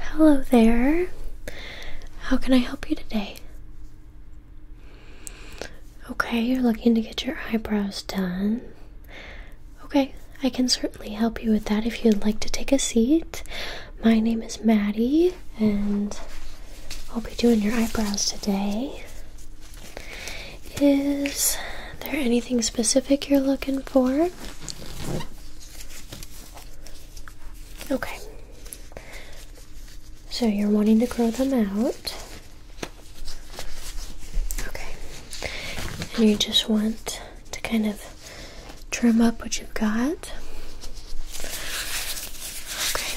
Hello there. How can I help you today? Okay, you're looking to get your eyebrows done. Okay, I can certainly help you with that if you'd like to take a seat. My name is Maddie, and I'll be doing your eyebrows today. Is there anything specific you're looking for? Okay. So you're wanting to grow them out. Okay. And you just want to kind of trim up what you've got. Okay.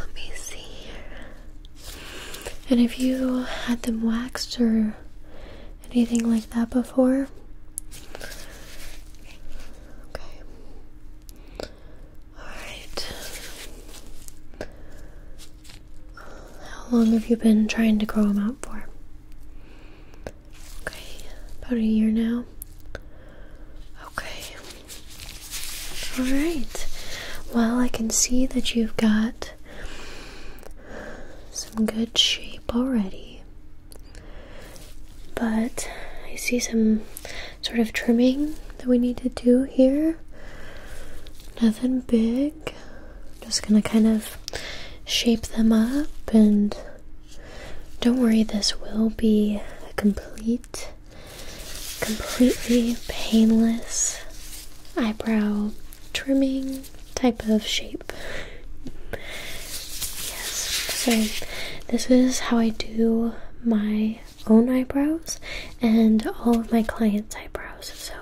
Let me see here. And if you had them waxed or anything like that before? Okay. Alright. How long have you been trying to grow them out for? Okay, about a year now. Okay. Alright. Well, I can see that you've got some good shape already. But I see some sort of trimming that we need to do here. Nothing big. Just gonna kind of shape them up, and don't worry, this will be a complete, completely painless eyebrow trimming type of shape. Yes, so this is how I do my own eyebrows and all of my clients' eyebrows. So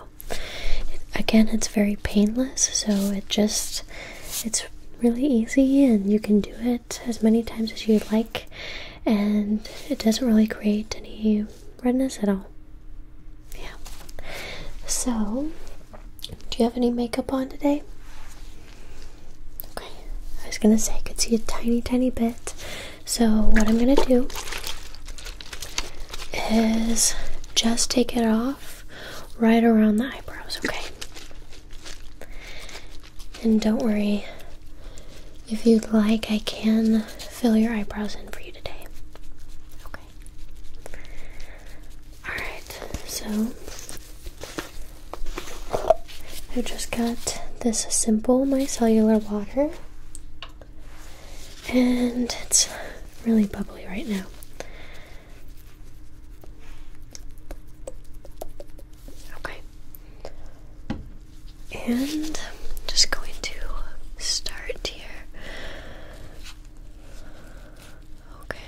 again, it's very painless, so it just it's really easy and you can do it as many times as you'd like and it doesn't really create any redness at all. Yeah. So, do you have any makeup on today? Okay. I was gonna say I could see a tiny, tiny bit. So, what I'm gonna do is just take it off right around the eyebrows, okay? And don't worry, if you'd like, I can fill your eyebrows in for you today. Okay. Alright, so I just got this simple micellar water, and it's really bubbly right now. Okay. And just going to start here. Okay.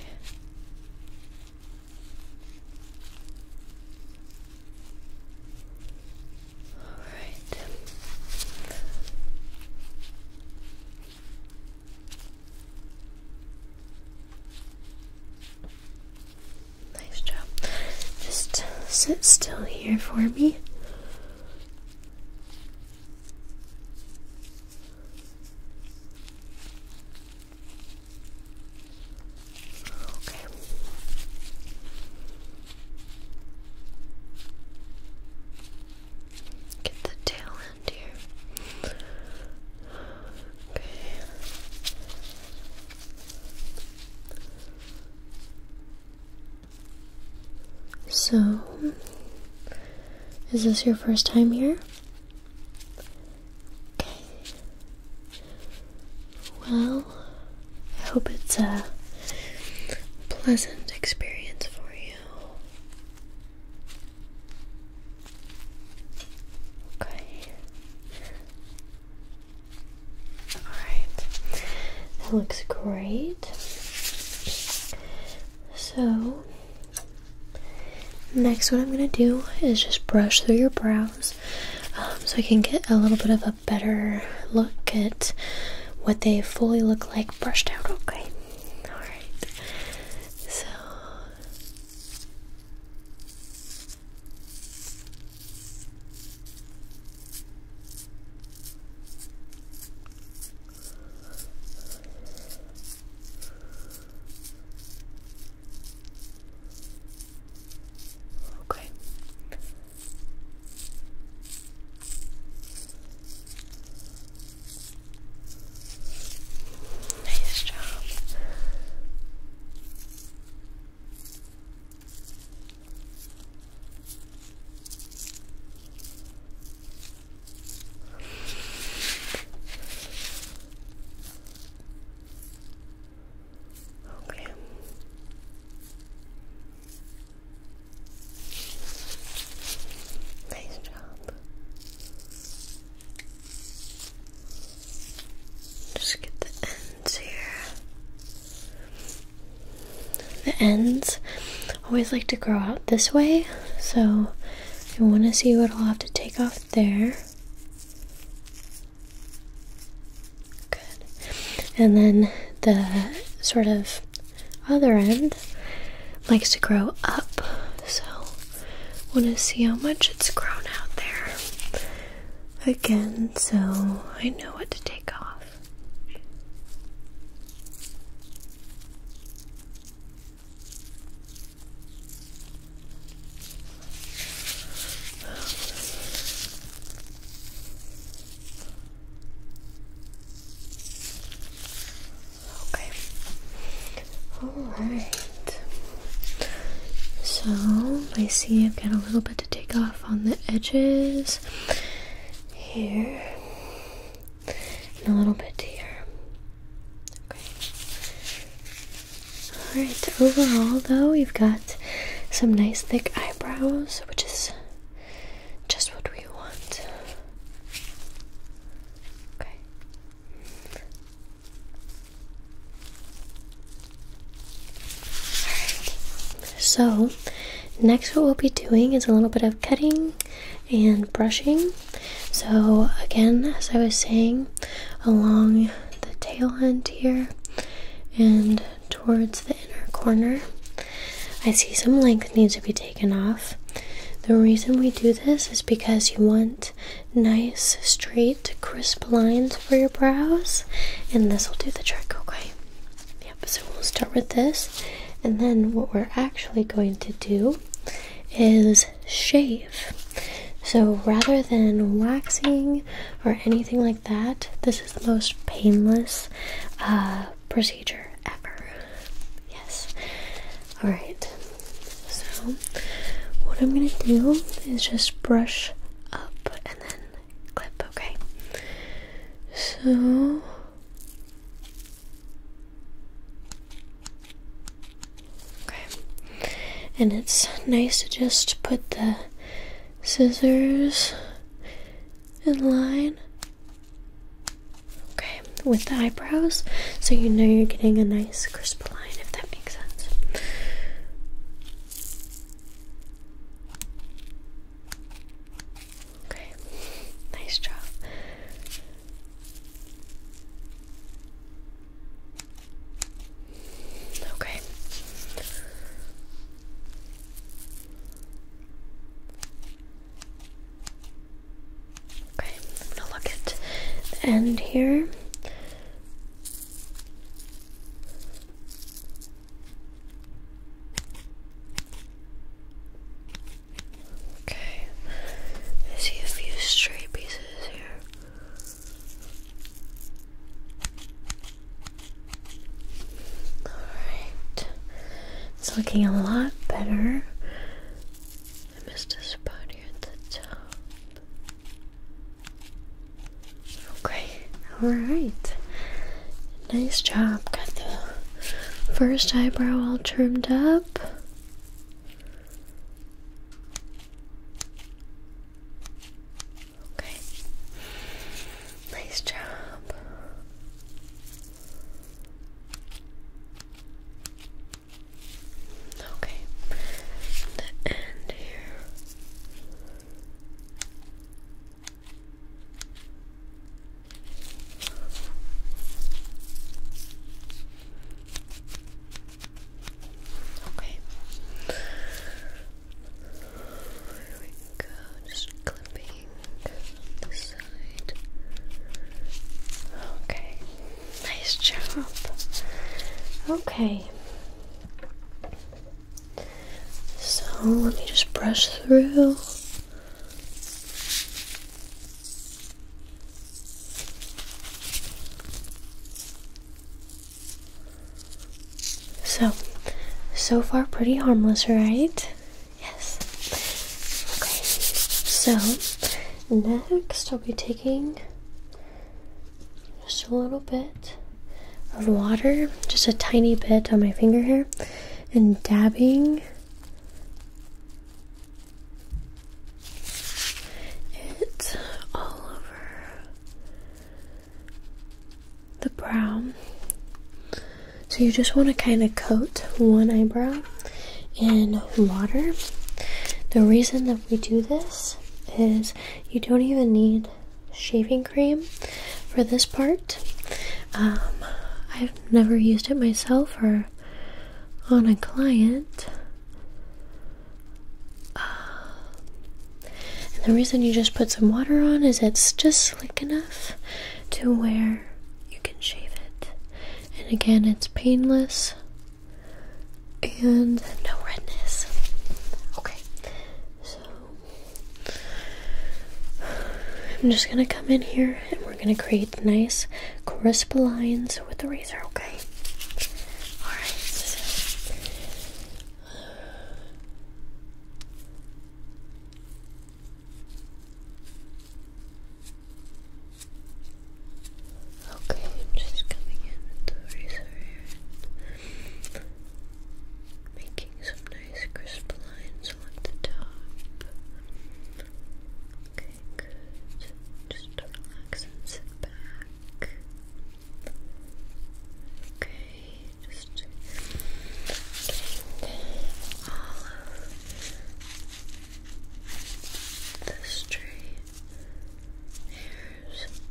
All right. Nice job. Just sit still here for me. Okay. Get the tail end here. Okay. So, is this your first time here? Okay. Well, I hope it's a pleasant experience for you. Okay. Alright, that looks great. So, next, what I'm gonna do is just brush through your brows um, so I can get a little bit of a better look at what they fully look like brushed out, okay? Alright, so. Okay. Nice job. Okay. Nice job. Just get the ends here. The ends always like to grow out this way, so I want to see what I'll have to take off there. Good. And then the sort of other end likes to grow up, so I want to see how much it's grown out there again so I know what to take off. Okay. Alright. So I see I've got a little bit to take off on the edges here and a little bit here. Okay. Alright, overall though, you've got some nice thick eyebrows, which is just what we want. Okay so next, what we'll be doing is a little bit of cutting and brushing. So, again, as I was saying, along the tail end here and towards the inner corner, I see some length needs to be taken off. The reason we do this is because you want nice, straight, crisp lines for your brows, and this will do the trick, okay? Yep, so we'll start with this. And then what we're actually going to do is shave. So rather than waxing or anything like that, this is the most painless uh, procedure ever. Yes. Alright, so what I'm gonna do is just brush up and then clip, okay? So Okay. And it's nice to just put the scissors in line. Okay, with the eyebrows, so you know you're getting a nice crisp line if that makes sense. Okay, nice job. Okay. Okay, I'm gonna look at the end here. Okay, see a few stray pieces here. Alright, it's looking a lot better. I missed a spot here at the top. Okay, alright. Nice job. Got the first eyebrow all trimmed up. Okay. Nice job. Okay. The end here. Okay. There we go. Just clipping this side. Okay. Nice job. Okay. So let me just brush through. So, so far pretty harmless, right? Yes. Okay. So, next I'll be taking just a little bit of water, just a tiny bit on my finger here, and dabbing it all over the brow. So you just want to kind of coat one eyebrow in water. The reason that we do this is you don't even need shaving cream for this part. Um, I've never used it myself or on a client. Um, the reason you just put some water on is it's just slick enough to where you can shave it. And again, it's painless and no redness. Okay, so I'm just gonna come in here and we're gonna create nice crisp lines with the razor, okay? Alright. Okay, I'm just coming in with the razor here. Making some nice crisp lines along the top. Okay, Just relax and sit back. Okay, just getting all of the straight hairs.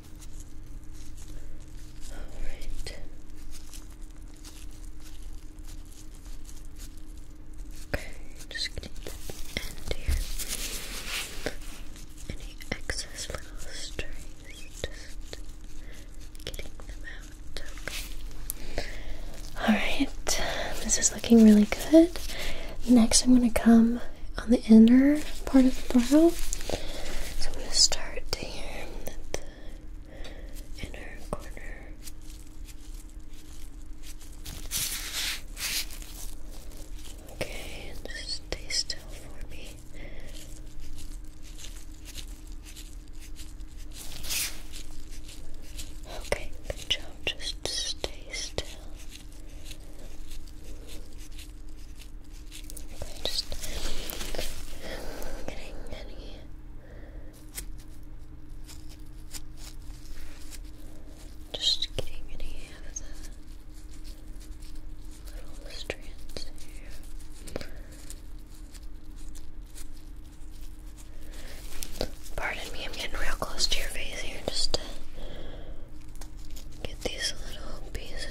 All right. Okay, just going the end here. Any excess little strings, just getting them out. All right, this is looking really good. Next, I'm gonna come on the the inner part of the brow. So I'm going to start here Okay, and just stay still for me. Okay, good job. Just stay still just getting any just getting any of the little strands here. Pardon me, I'm getting real close to your face here just to get these little pieces.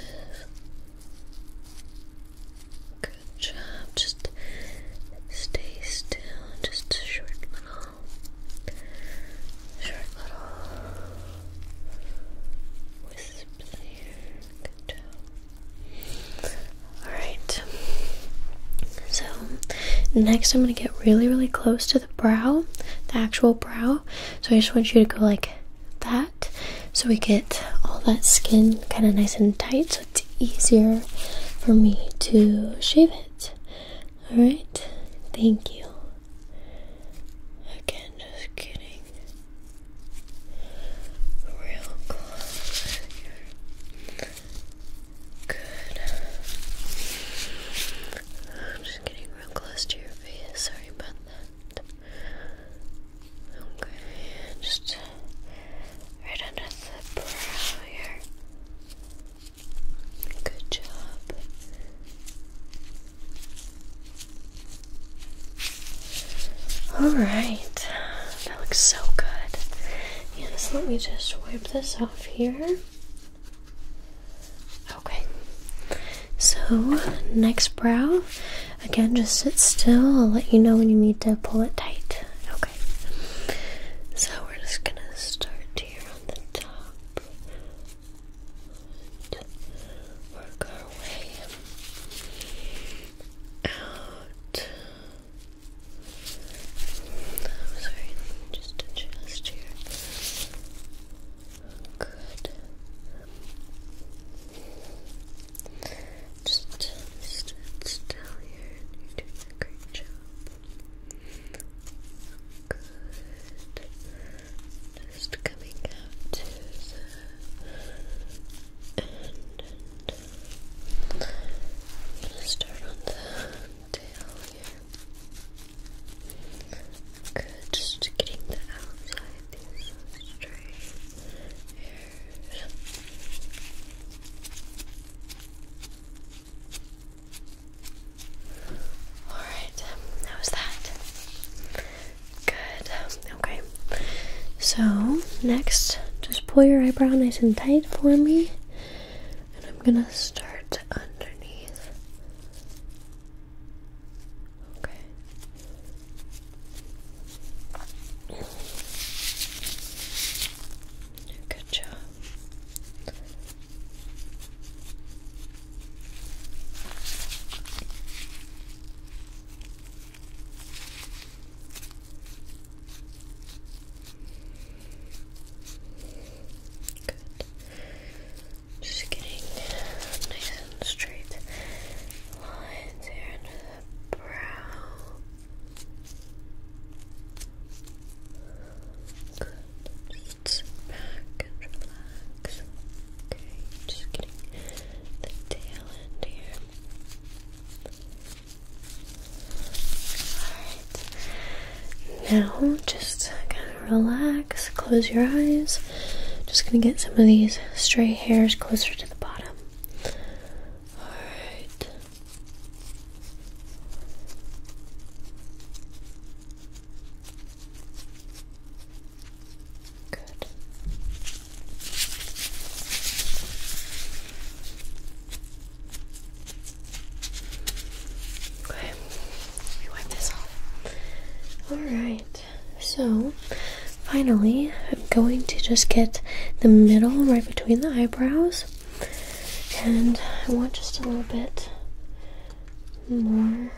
Good job. Just stay still. Just a short little, short little wisp there. Good job. Alright. So, next I'm going to get really, really close to the brow, the actual brow. So, I just want you to go like that so we get all that skin kind of nice and tight so it's easier for me to shave it. Alright, thank you. Again, just kidding. Real close here. Good. I'm just getting real close to your face. Sorry about that. Okay, just right under the brow here. Good job. Alright, that looks so good. Yes, let me just wipe this off here. Okay, so, next brow, again, just sit still. I'll let you know when you need to pull it tight. Okay. So, we're just gonna start here on the top work our way out. I'm sorry, just adjust here. Good. Just stand still here you're doing a great job. Good. Just coming out to the end. I'm gonna uh, start on the tail here. Good. Just getting the outside with these straight that? Good, um, okay. So, next, just pull your eyebrow nice and tight for me, and I'm gonna start underneath. Okay. Good job. Good. Just getting nice and straight lines here under the brow. Good. sit back and relax. Okay, just getting the tail end here. Alright. Now just relax, close your eyes. Just gonna get some of these stray hairs closer to the bottom. Alright. Good. Okay, let wipe this off. All right. So, finally, I'm going to just get the middle right between the eyebrows, and I want just a little bit more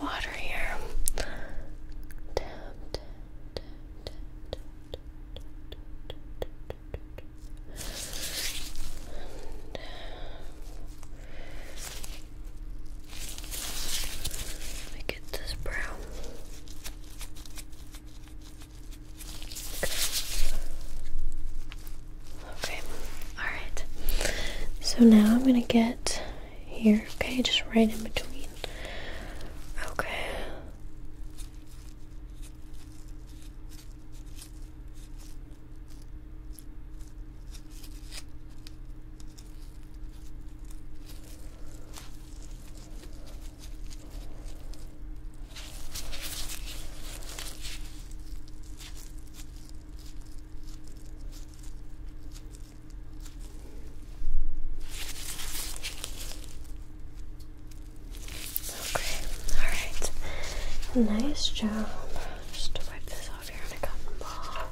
water here. Let me get this brown. Okay, alright. So now I'm gonna get here, okay, just right in between. Okay. Okay, alright. Nice job. Just wipe this off here in a cotton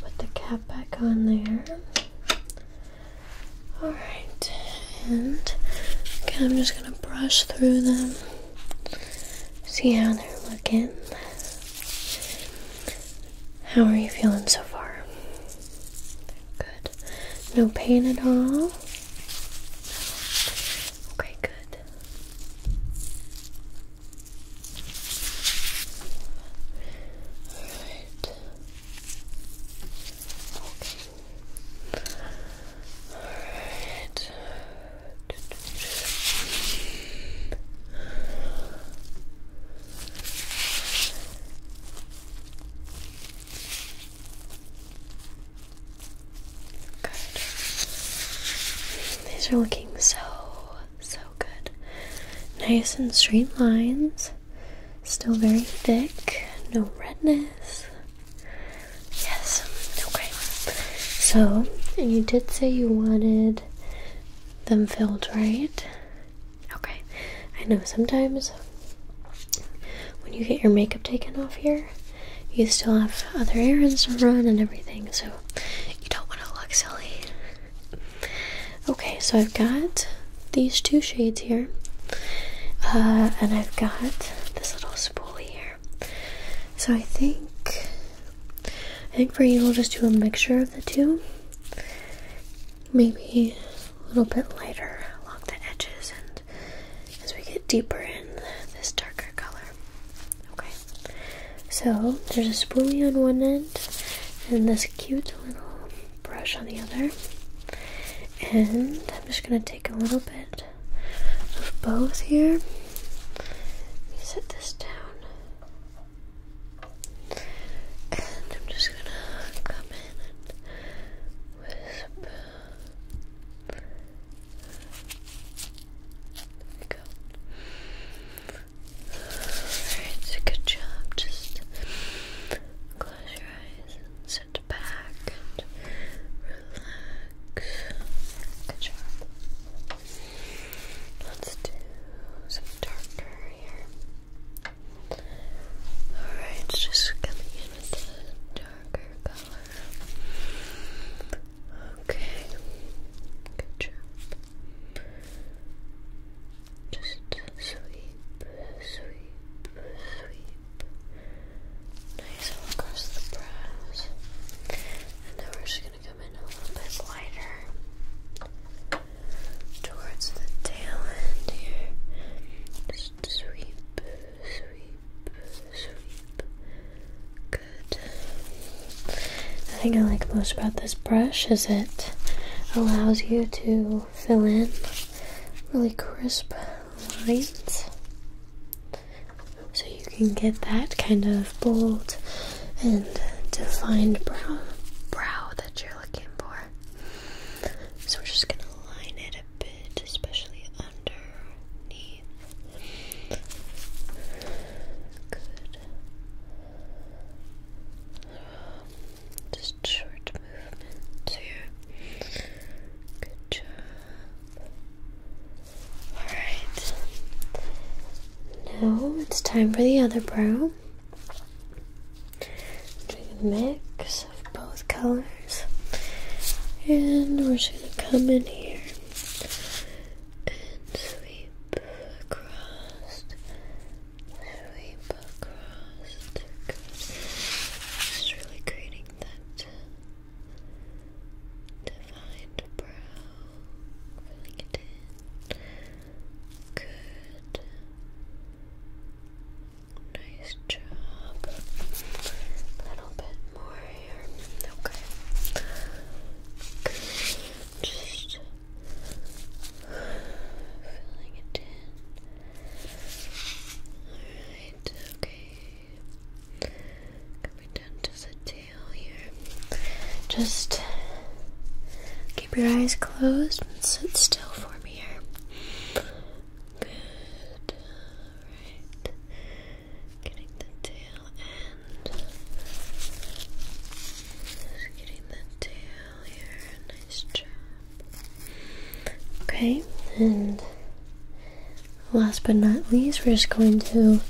Put the cap back on there. Alright, and I'm just gonna brush through them, see how they're looking. How are you feeling so far? Good. No pain at all? Okay, good. Alright. Okay. Alright. Good. These are looking so, so good. Nice and straight lines. Still very thick. No redness. Yes. Okay. So, you did say you wanted them filled, right? Okay, I know sometimes when you get your makeup taken off here, you still have other errands to run and everything, so you don't want to look silly. Okay, so I've got these two shades here, uh, and I've got this little spool here. So I think I think for you, we'll just do a mixture of the two maybe a little bit lighter along the edges and as we get deeper in this darker color. Okay, so there's a spoolie on one end and this cute little brush on the other. And I'm just going to take a little bit of both here. set this down. And I'm just gonna come in and whisper. There we go. Alright, so good job. Just close your eyes and sit back and relax. Good job. Let's do some darker here. Alright, it's just coming in with a darker color. Okay, good job. Just sweep, sweep, sweep. Nice across the brows. And now we're just gonna come in a little bit lighter towards the tail end here. sweep, sweep, sweep. Good. The thing I like most about this brush is it allows you to fill in really crisp lines. So you can get that kind of bold and defined brow, brow that you're looking for. So we're just gonna line it a bit, especially underneath. Good. just short movements here. Good job. Alright. Now it's time for the other brow now. a mix of both colors. And we're just gonna come in here and sweep across. Sweep across. Just really creating that defined brow. Filling it Good. Nice job. A little bit more here. Okay. Just filling it in. Alright, okay. Coming down to the tail here. Just Keep your eyes closed and sit still for me here. Good. Alright. Getting the tail end. getting the tail here. Nice job. Okay, and last but not least, we're just going to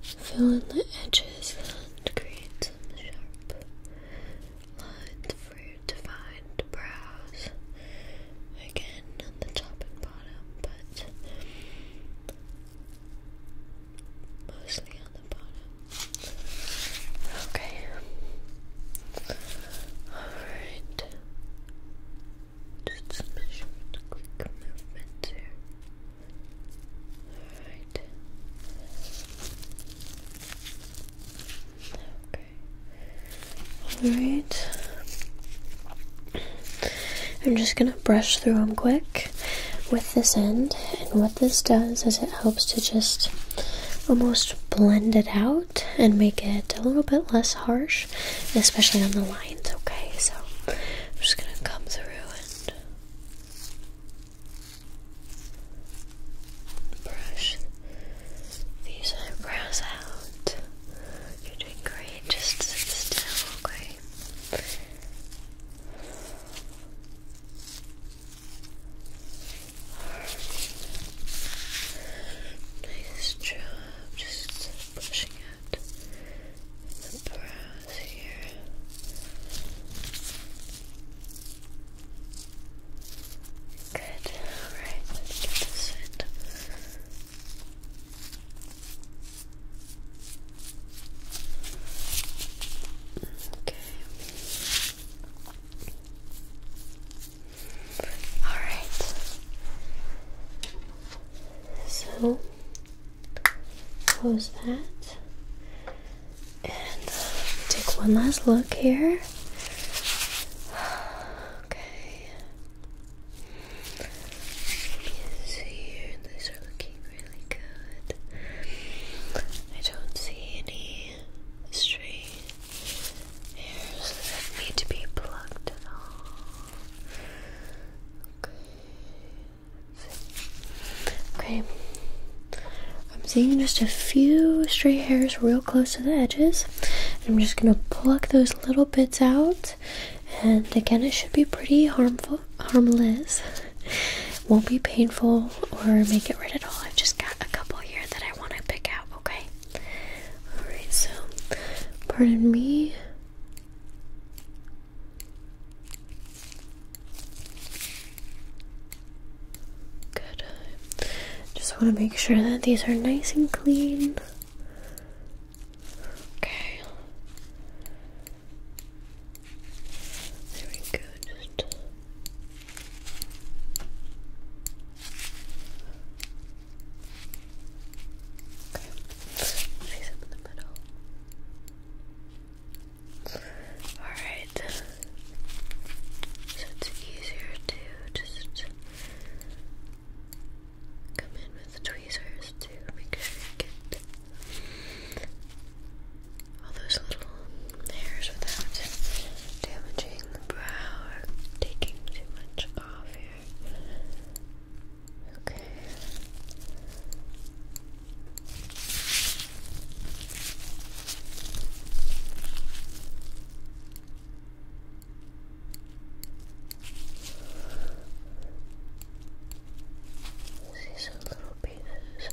fill in the edges and create some sharp Lines for defined brows. Again on the top and bottom, but mostly on the bottom. Okay. Alright. Just measure with quick movements here. Alright. Alright. I'm just going to brush through them quick with this end. And what this does is it helps to just almost blend it out and make it a little bit less harsh, especially on the lines, okay? So I'm just going to come through and brush these eyebrows out. You're doing great, just sit still, okay? Nice job, just brushing out the brows here. Good. Alright, let's do this Okay. Alright. So close that. And uh, take one last look here. Okay. here. These are looking really good. I don't see any stray hairs that need to be plucked at all. Okay. Okay, I'm seeing just a few stray hairs real close to the edges. I'm just gonna pluck those little bits out, and again, it should be pretty harmful, harmless. Won't be painful or make it red at all. I've just got a couple here that I want to pick out. Okay. All right. So, pardon me. Good. Just want to make sure that these are nice and clean. Okay. There we go. Just Okay. Place them in the middle. Alright. So it's easier to just come in with tweezers to make sure you get all those little hairs without damaging the brow or taking too much off here. Okay. These are little pieces.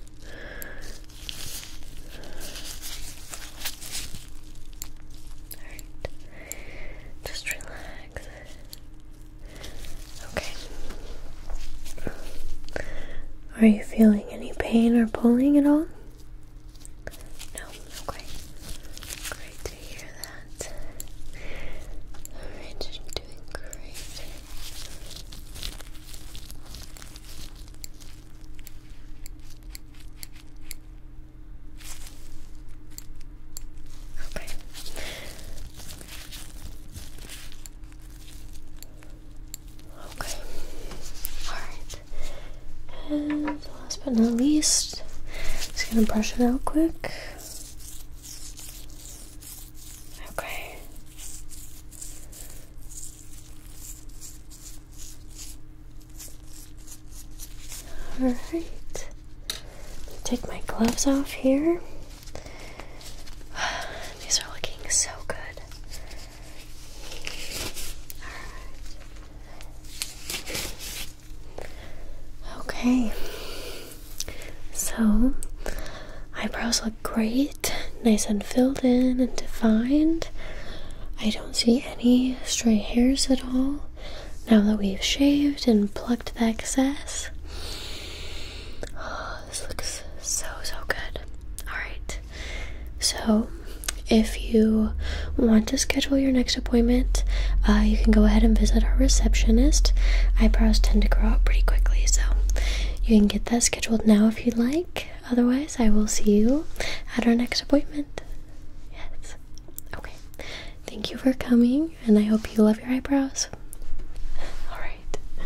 Alright. Just relax. Okay. Are you feeling any pain or pulling at all? No, okay. Great to hear that. Alright, you're doing great. Okay. Okay. Alright. And last but not least, just gonna brush it out quick. Okay. Alright. Take my gloves off here. These are looking so good. Okay. So, eyebrows look great, nice and filled in and defined. I don't see any stray hairs at all now that we've shaved and plucked the excess this looks so, so good. Alright, so if you want to schedule your next appointment, uh, you can go ahead and visit our receptionist. Eyebrows tend to grow out pretty quickly, so you can get that scheduled now if you'd like. Otherwise, I will see you at our next appointment. Yes. Okay. Thank you for coming, and I hope you love your eyebrows. All right.